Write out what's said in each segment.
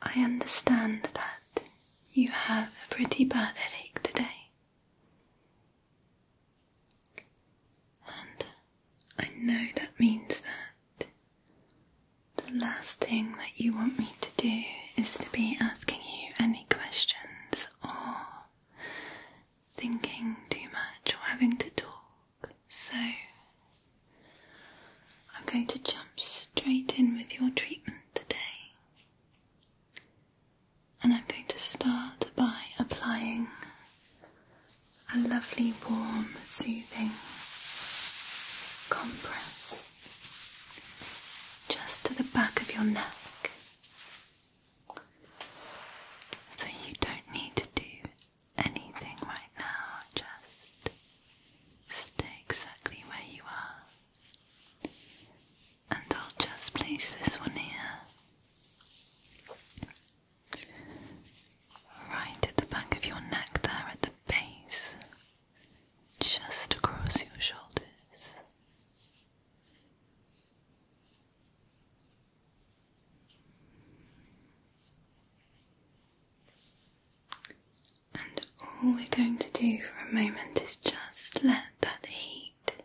I understand that you have a pretty bad headache today. And I know that means that the last thing that you want me to do is to be asking you any questions or thinking too much or having to talk. So I'm going to jump straight in with your treatment today. And I'm going to start by applying a lovely, warm, soothing compress just to the back of your neck. So you don't need to do anything right now, just Stay exactly where you are. And I'll just place this one here. Right at the back of your neck, there at the base, just across your shoulders. And all we're going to do for a moment is just let that heat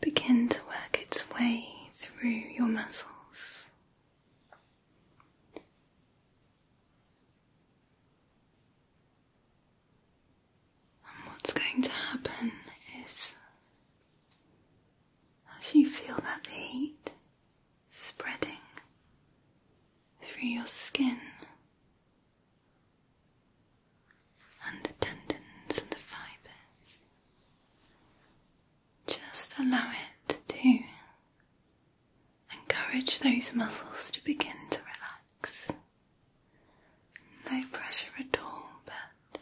begin to work its way through your muscles. And what's going to happen is as you feel that heat, spreading through your skin and the tendons and the fibres. Just allow it to encourage those muscles to begin to relax. No pressure at all, but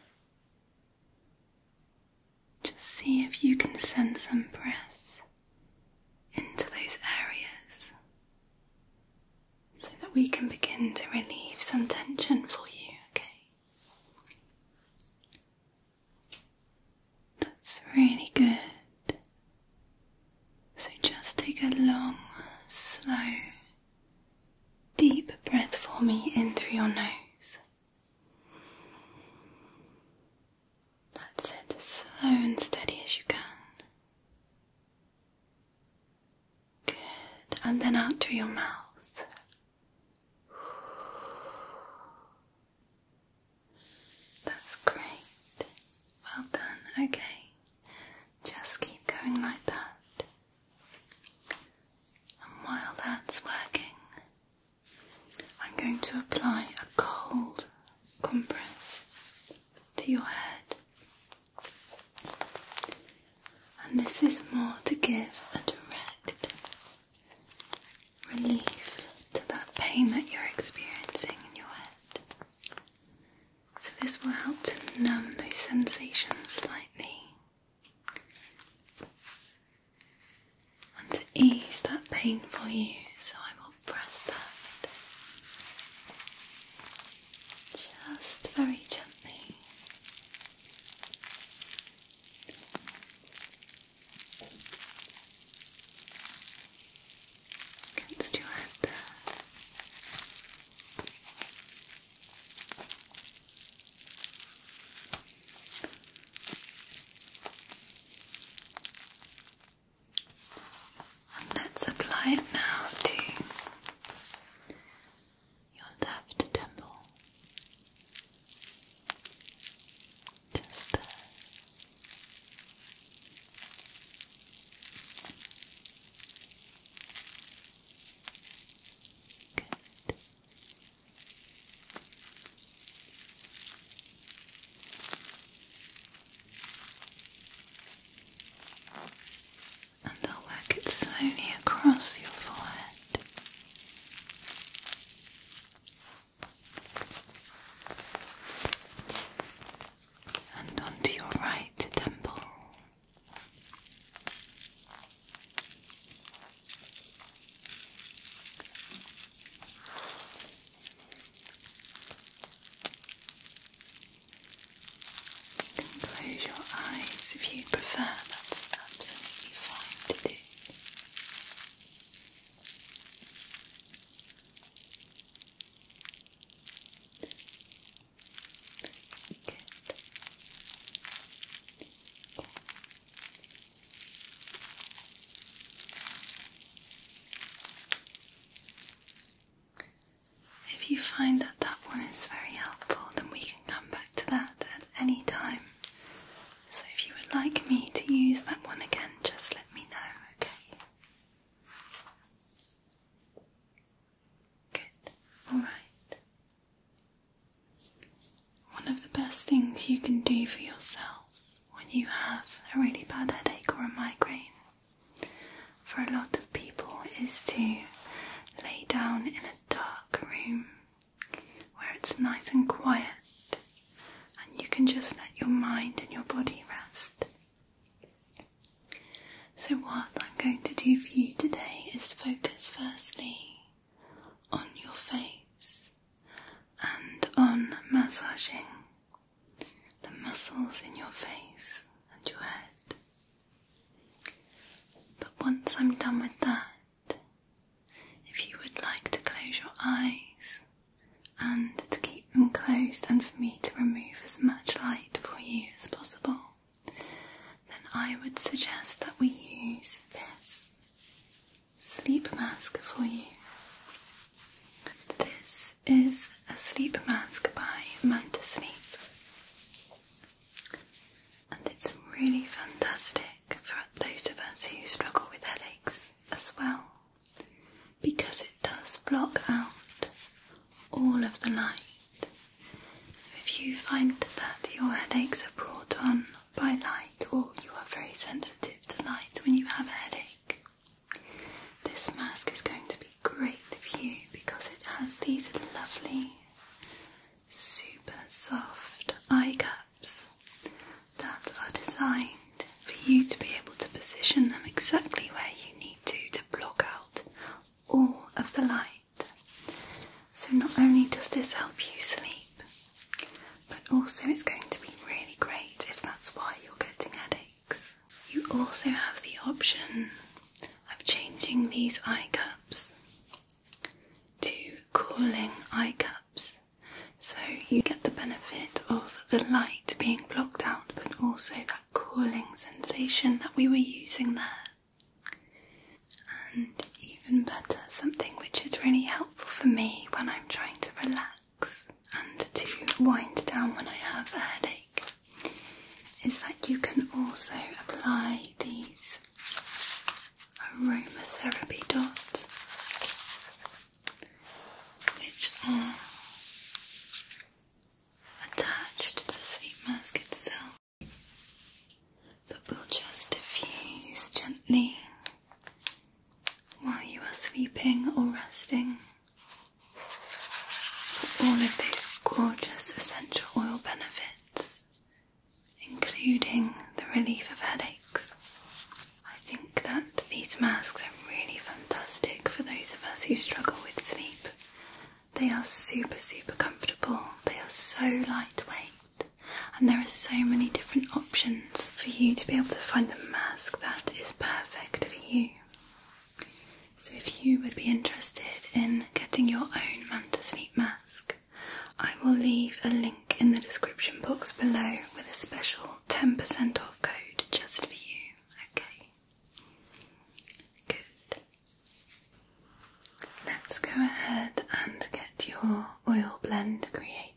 just see if you can send some breath into those areas so that we can begin to relieve some tension for you, okay? That's really good. So just take a long, slow, deep breath for me in through your nose. That's it, as slow and steady as you can. Good, and then out through your mouth. That's great. Well done, okay. Just keep going like that. And while that's working, I'm going to apply a cold compress to your head. And this is more to give a direct relief to that pain that you're experiencing in your head. So, this will help to numb those sensations slightly and to ease that pain for you. So, I will press that just very gently. Against your head let's apply it now to your left temple. Just there. Good. And I'll work it slowly across your forehead. And onto your right temple. You can close your eyes if you prefer, that's absolutely fine to do. Good. Good. If you find that that one is very helpful, then we can come back to that at any time. So if you would like me to use that one again, just let me know, okay? Good, alright. One of the best things you can do for yourself when you have a really bad headache or a migraine, for a lot of people, is to lay down in a dark room where it's nice and quiet and you can just let your mind and your body rest. So, what I'm going to do for you today is focus firstly on your face and on massaging the muscles in your face and your head. But once I'm done with that, if you would like to close your eyes and to keep them closed and for me to remove as much light for you as possible, then I would suggest that we use this sleep mask for you. This is a sleep mask by Manta Sleep. And it's really fantastic for those of us who struggle with headaches as well because it does block out all of the light. So if you find that your headaches are brought on by light or you are very sensitive to light when you have a headache, this mask is going to be great for you because it has these lovely, super soft eye cups that are designed for you to be able to position them exactly where you need to to block out all of the light. So, not only does this help you sleep, but also it's going to be really great if that's why you're getting headaches. You also have the option of changing these eye cups to cooling eye cups. So you get the benefit of the light being blocked out, but also that cooling sensation that we were using there. And even better, something which is really helpful for me when I'm trying to relax and to wind down when I have a headache is that you can also apply these aromatherapy dots, which are attached to the sleep mask itself, but will just diffuse gently while you are sleeping or resting for all of those gorgeous essential oil benefits, including the relief of headaches. I think that these masks are really fantastic for those of us who struggle with sleep. They are super, super comfortable, they are so lightweight, and there are so many different options for you to be able to find the mask that is perfect for you. So, if you would be interested in getting your own Manta Sleep Mask, I will leave a link in the description box below with a special 10% off code just for you. Okay? Good. Let's go ahead and get your oil blend created.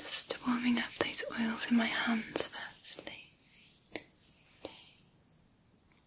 Just warming up those oils in my hands firstly.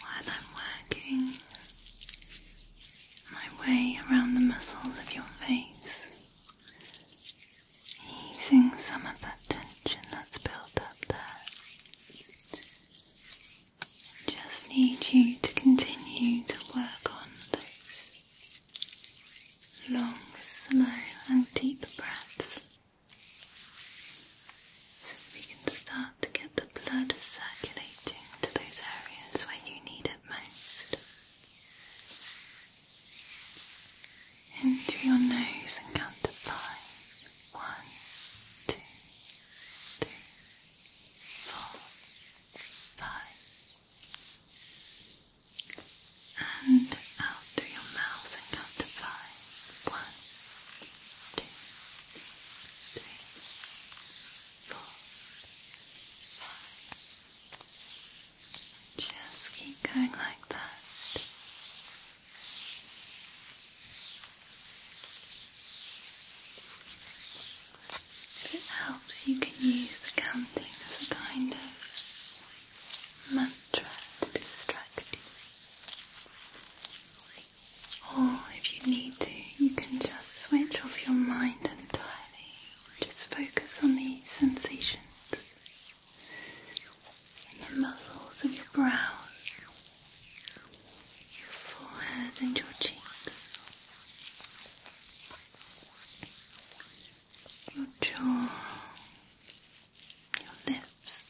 While I'm working my way around the muscles of your face, easing some of that tension that's built up there. Just need you to continue to work on those long, slow, and deep breaths so we can start to get the blood circulating to those areas when you need it most in through your nose and count to five. One, two, three, four, five. And out through your mouth and count to five. One, two, three, four, five. Just keep going like that. If it helps, you can use the counting as a kind of mantra to distract you. Or if you need to, you can just switch off your mind entirely just focus on the sensations in the muscles of your brows, your forehead, and your cheeks, your jaw, your lips.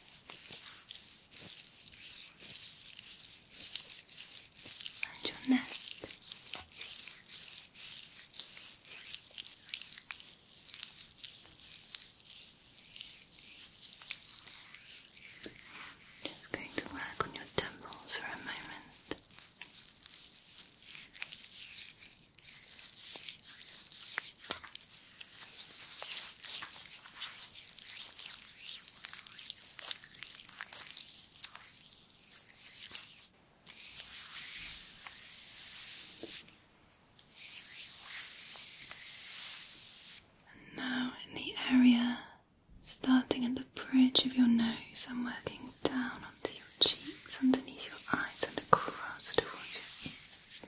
And your neck, just going to work on your temples for a moment now, in the area starting at the bridge of your nose, I'm working down onto your cheeks, underneath your eyes, and across towards your ears.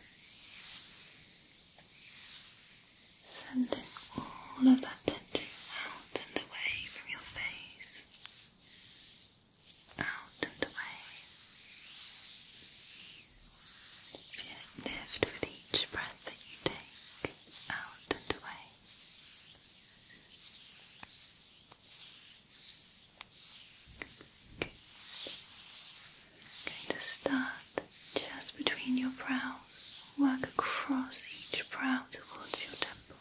Sending all of that tension out and away from your face out and away. Feel it with each breath that you take, out and away. going to start just between your brows, work across each brow towards your temple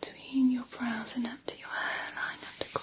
between your brows and up to your hairline across.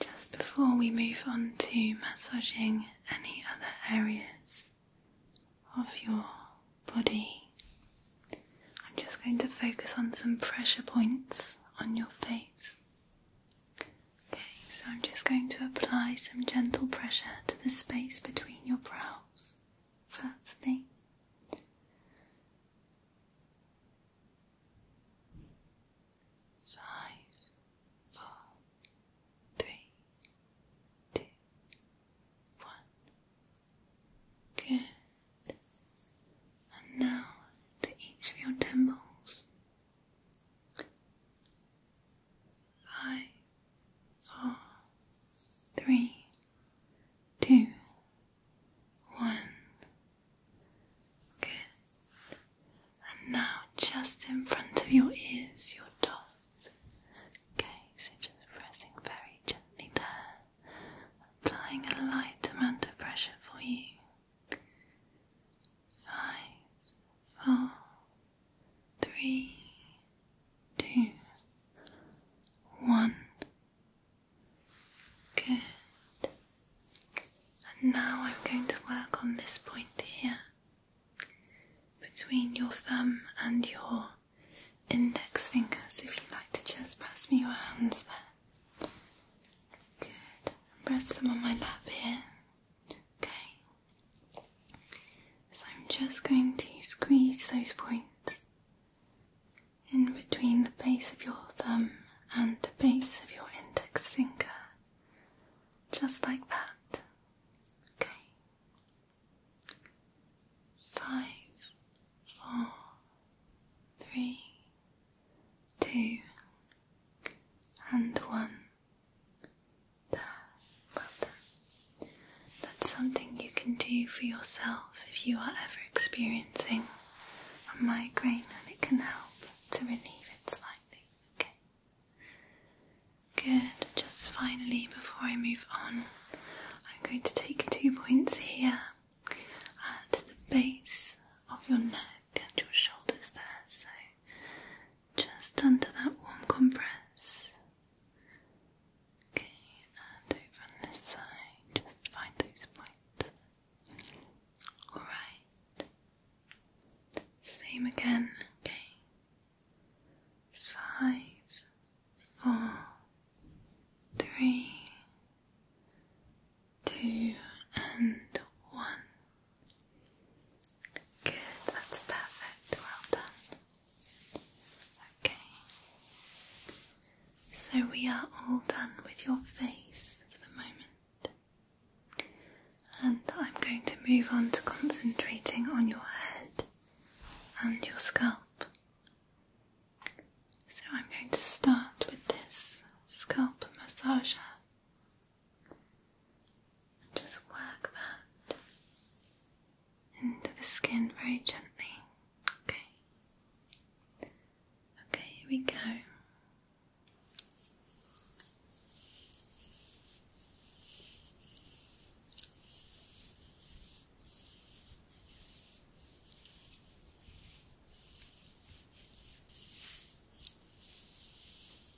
just before we move on to massaging any other areas of your body, I'm just going to focus on some pressure points on your face. Okay, so I'm just going to apply some gentle pressure to the space between your brows. Firstly, five, four, three, two, one. Good. And now to each of your temples five, four, three, two, one. Good. And now, just in front of your ears, your dots. Okay, so just pressing very gently there, applying a light amount of pressure for you. Five, four, three, two, one. Good. And now I'm going to work on this point here between your thumb and your index fingers. if you'd like to just pass me your hands there. Good. And press them on my lap here. Okay. So I'm just going to squeeze those points in between the base of your thumb and the base of your index finger, just like that. Okay. Five, four, three, two, and one well done. That's something you can do for yourself if you are ever experiencing a migraine, and it can help to relieve it slightly. Okay. Good. Just finally, before I move on, I'm going to take two points here at uh, the base of your neck and your shoulders there. So just under that warm compress. Okay, and over on this side, just find those points. Alright. Same again, okay. Five, four, three, two, and one. Good, that's perfect. Well done. Okay. So we are all done with your face for the moment. And I'm going to move on to concentrating on your head and your scalp. So I'm going to start with this scalp massager and just work that into the skin very gently. Okay. Okay, here we go.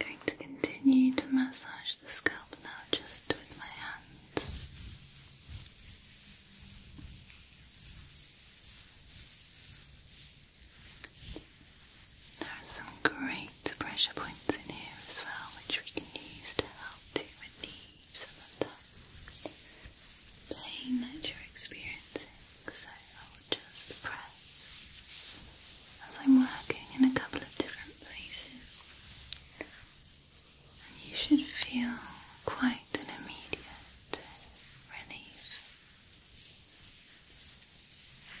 I'm going to continue to massage the scalp now just with my hands. There are some great pressure points in here as well, which we can use to help to relieve some of the pain that you're experiencing. So I'll just press as I'm working in a couple of different places, and you should feel quite an immediate relief. Now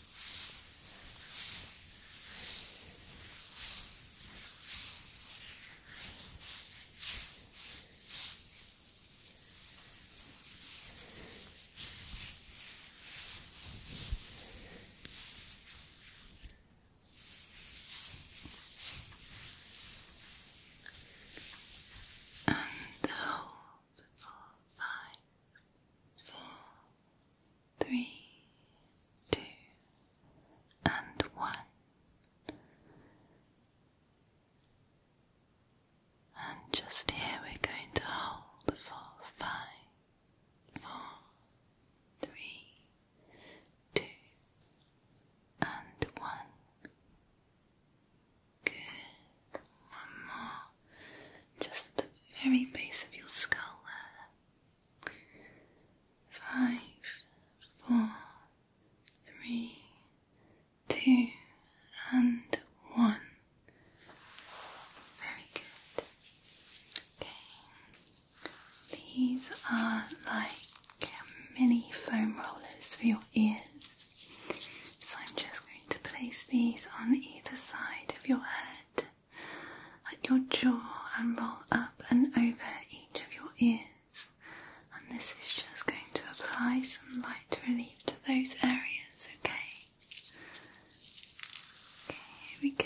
And how uh, four, five, four, three, two, and one. And just here we're going to hold for five, four, three, two, and one. Good. One more just the very base of your skull there. Five, four, three, two, and one. Very good. Okay. These are like mini foam rollers for your ears. So I'm just going to place these on either side of your head. At your jaw and roll up and over each of your ears. And this is just going to apply some light relief to those areas, okay? Okay, here we go.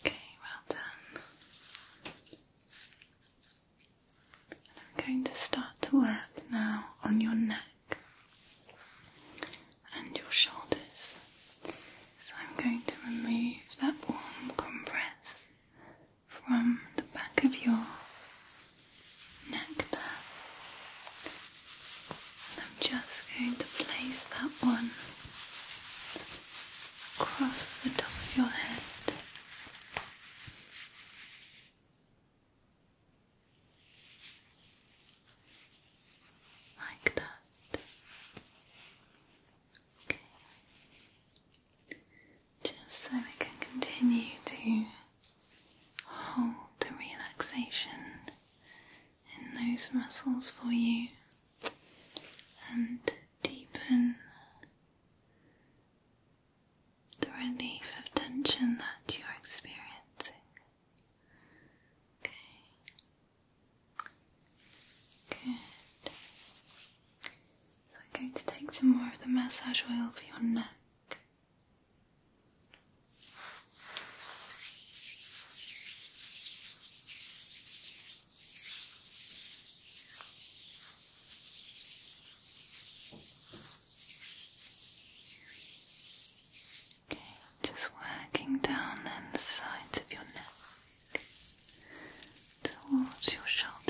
Okay, well done. And I'm going to start to work now on your neck and your shoulders. So I'm going to remove that warm compress from the back of your nectar. I'm just going to place that one across the top of your head. Like that. Okay. Just so we can continue to hold the relaxation in those muscles for you and deepen the relief of tension that you're experiencing. Okay. Good. So I'm going to take some more of the massage oil for your neck just working down then the sides of your neck towards your shoulders.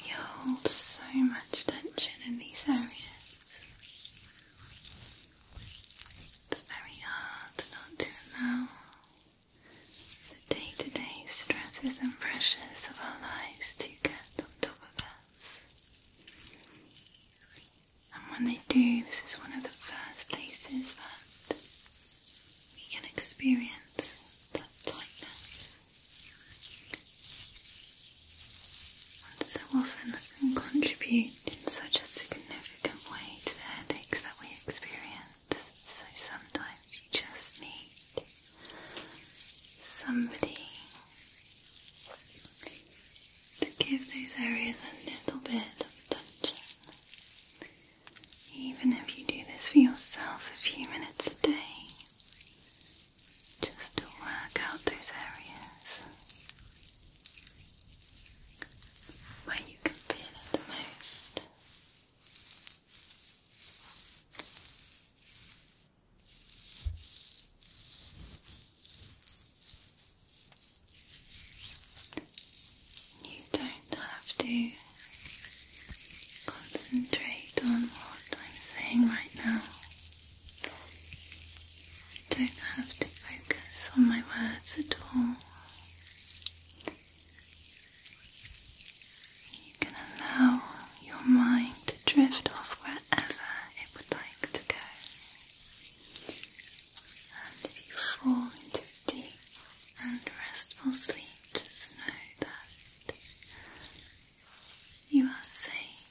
We hold so much tension in these areas. It's very hard not to allow the day to day stresses and pressures of our lives to get on top of us. And when they do, this is one of the first places that we can experience that tightness. And so often that can contribute in such a significant way to the headaches that we experience. So sometimes you just need somebody to give those areas a little bit of attention. Even if you do this for yourself a few minutes a day, just to work out those areas where you can feel it the most. You don't have to concentrate on what I'm saying right now. You don't have to focus on my words at all. You can allow your mind to drift off wherever it would like to go. And if you fall into deep and restful sleep, just know that you are safe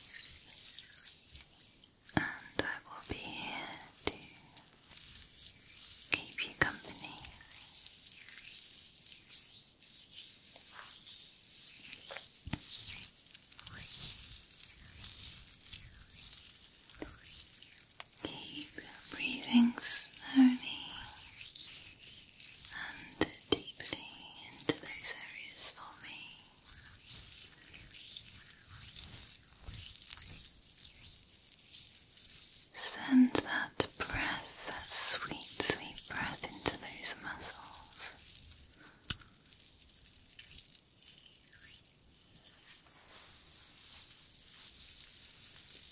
and I will be here to keep you company. Keep your breathing slowly and deeply into those areas for me. Send that that breath, that sweet, sweet breath into those muscles.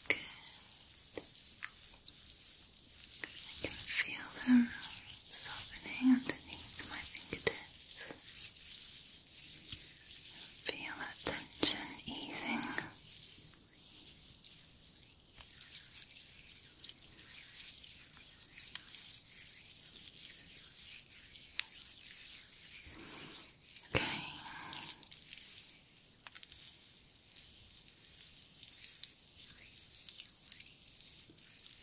Good. feel them softening underneath my fingertips. Feel that tension easing. Okay.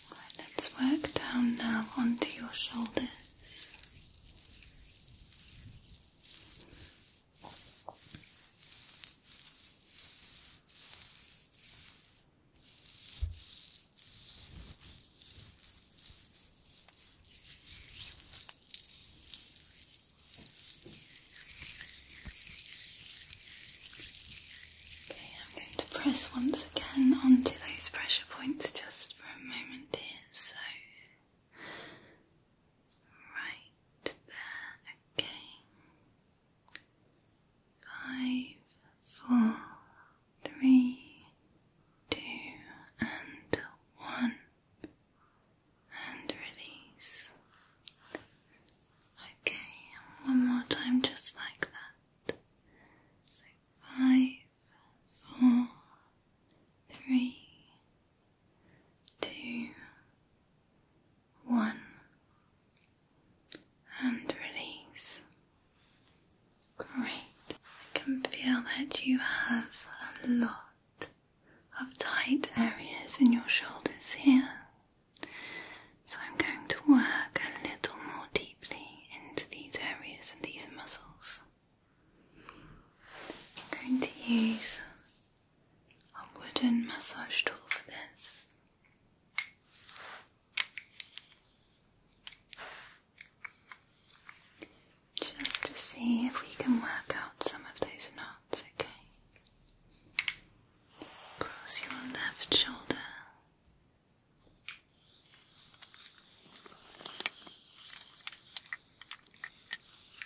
All right, let's work down now onto your shoulders. Okay, I'm going to press once again onto those pressure points just for a moment here. So right there again. Five, four, three, two, and one, and release. Okay, one more time, just like that. So five, four, three, two, one, and release. Great. I can feel that you have a lot of tight areas in your shoulders here. So I'm going to work a little more deeply into these areas and these muscles. I'm going to use a wooden massage tool for this. Just to see if we can work out some of those knots, okay? Cross your left shoulder.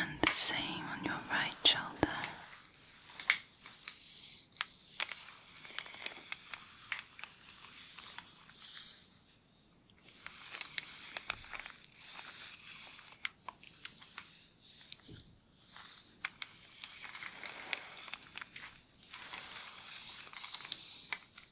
and the same on your right shoulder.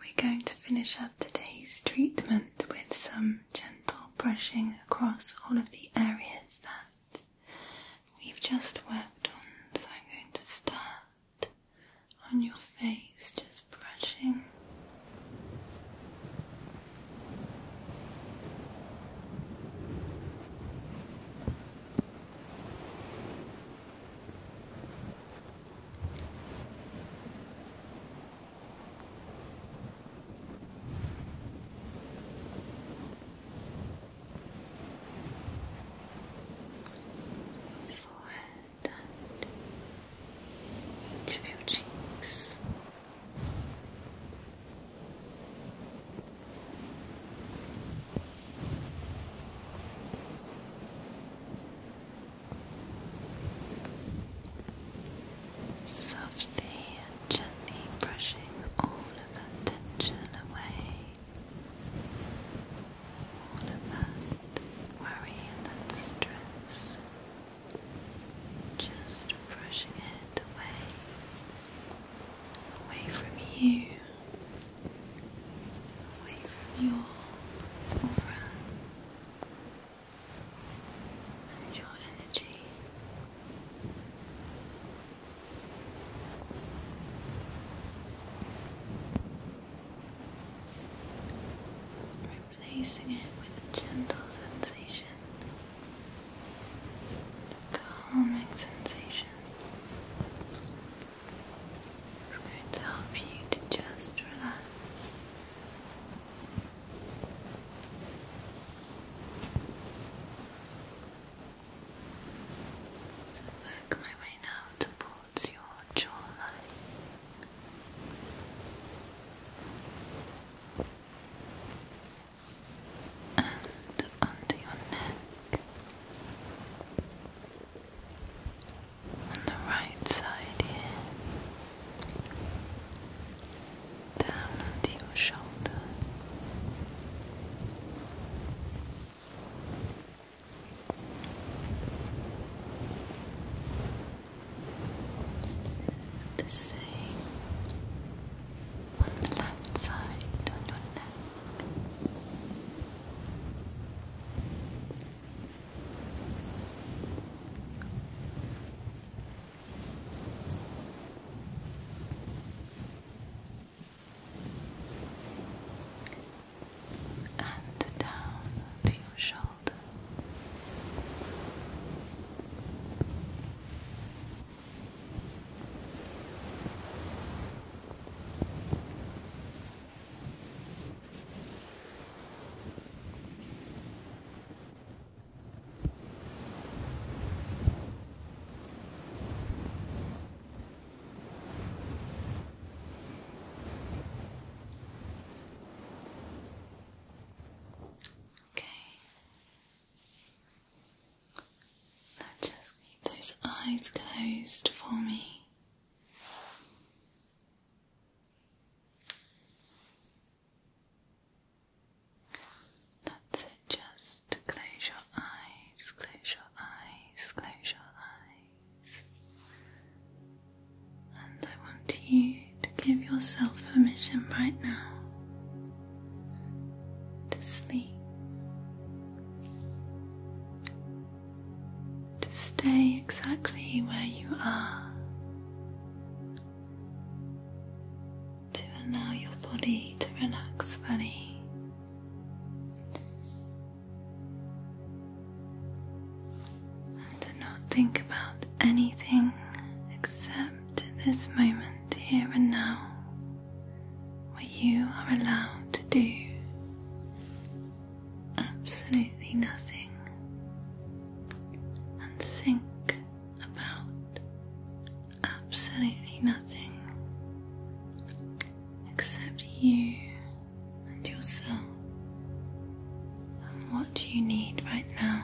We're going to finish up today's treatment with some gentle brushing across all of the areas that we've just worked on. So I'm going to start on your face, just brushing forehead and each of your cheeks. Softly and gently brushing all of that tension away. All of that worry and stress, just brushing it away, away from you, away from your aura and your energy. Replacing it with a gentle sensation, calming sensation. It's going to help you to just relax. So work my way now to towards your jawline and under your neck. On the right side here, down onto your shoulder, the same on the left side on your neck and down to your shoulder. Okay. just keep those eyes closed for me. That's just close your eyes, close your eyes, close your eyes. And I want you to give yourself permission right now to sleep, to stay exactly where you are, to allow your body to relax fully. And do not think about anything except this moment here and now, what you are allowed to do. Absolutely nothing. And think about absolutely nothing except you and yourself and what do you need right now,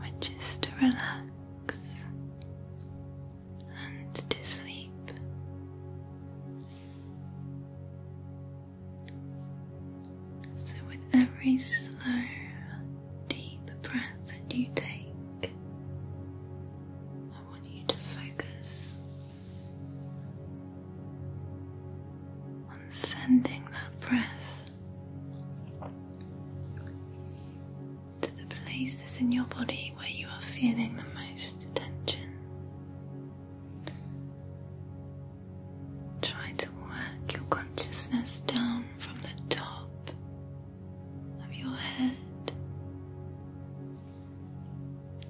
which is to relax and to sleep. So, with every slow, deep breath that you take, I want you to focus on sending that breath to the places in your body where you are feeling the most tension. Try to work your consciousness down from the top of your head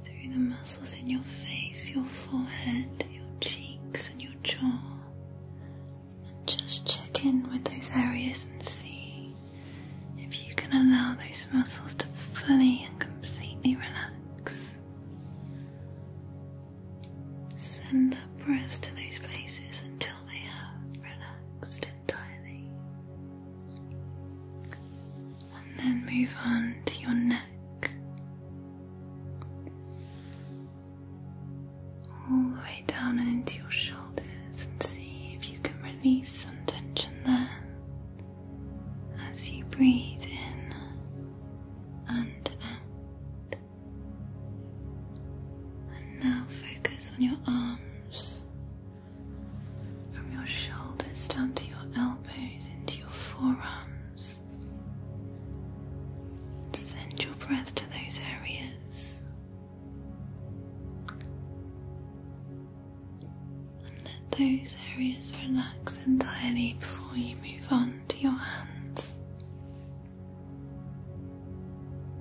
through the muscles in your face, your forehead, your cheeks, and your jaw. And just check in with those areas and see if you can allow those muscles to fully and completely relax. Send that breath to those places until they have relaxed entirely and then move on to your neck, all the way down and into your shoulders, and see if you can release some tension there as you breathe in and out. And now focus on your arms from your shoulders down to your elbows, into your forearms. Send your breath to those areas and let those areas relax entirely before you move on to your hands.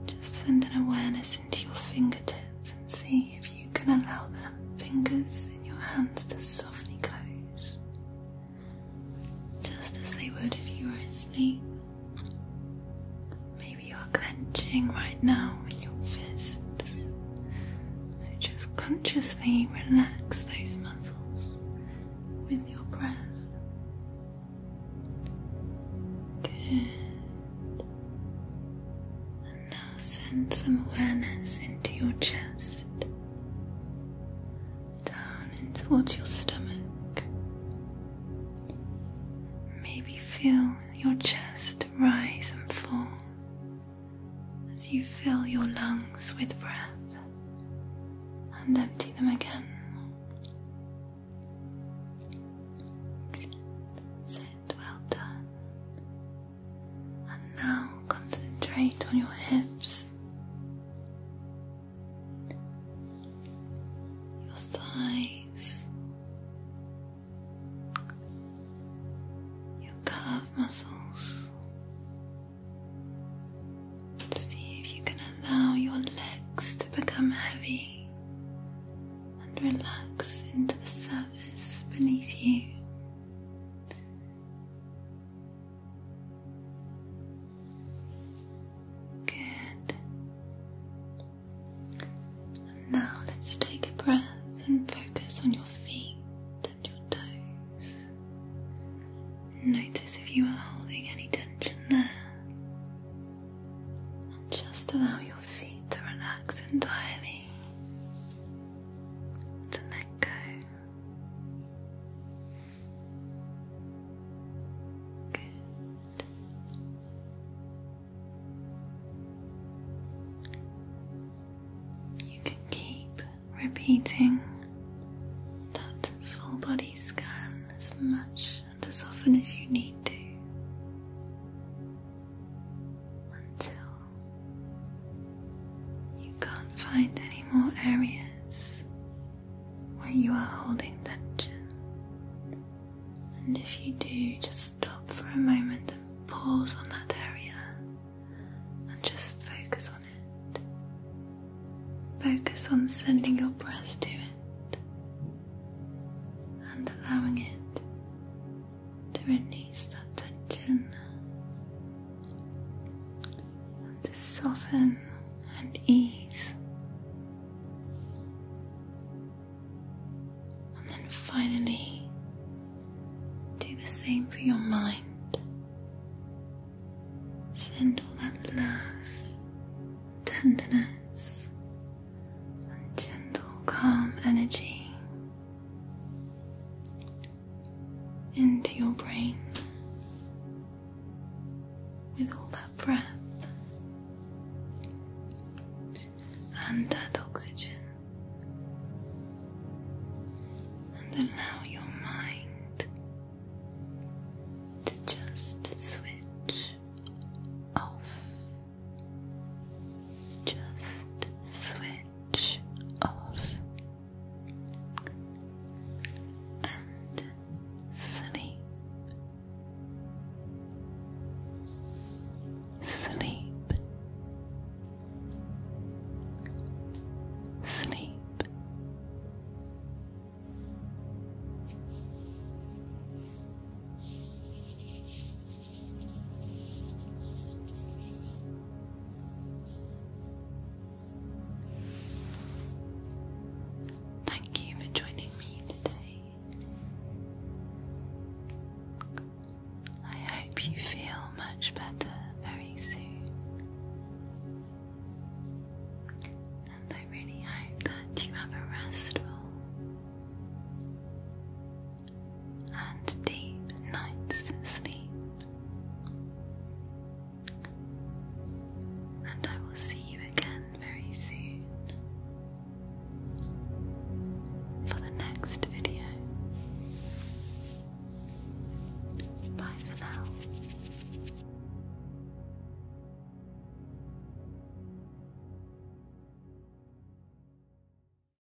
Just send an awareness into your fingertips and see if you can allow the fingers in your hands to softly close, just as they would if you were asleep. Maybe you are clenching right now in your fists, so just consciously relax those muscles with your breath. Good now send some awareness into your chest, down and towards your stomach. Maybe feel your chest rise and fall as you fill your lungs with breath and empty them again. And now concentrate on your hips, your thighs, your calf muscles. See if you can allow your legs to become heavy and relax into the surface beneath you. Good. And now let's take a breath and focus on your feet and your toes. Notice if you are holding any tension there. And just allow your feet to relax entirely to let go. Good. You can keep repeating that full body scan as much and as often as you need to until you can't find any more areas where you are holding tension. And if you do, just stop for a moment and pause on that area and just focus on it. Focus on sending your breath to it and allowing it to release that tension and to soften and ease. And then finally, do the same for your mind. Send all that love, tenderness, and gentle, calm energy into your brain with all that breath and that oxygen, and allow your mind to just switch off just switch off and sleep. Sleep. Sleep. Thank you for joining me today. I hope you feel much better very soon. And I really hope that you have a restful and deep night's sleep. And I will see you again very soon for the next video. Bye for now.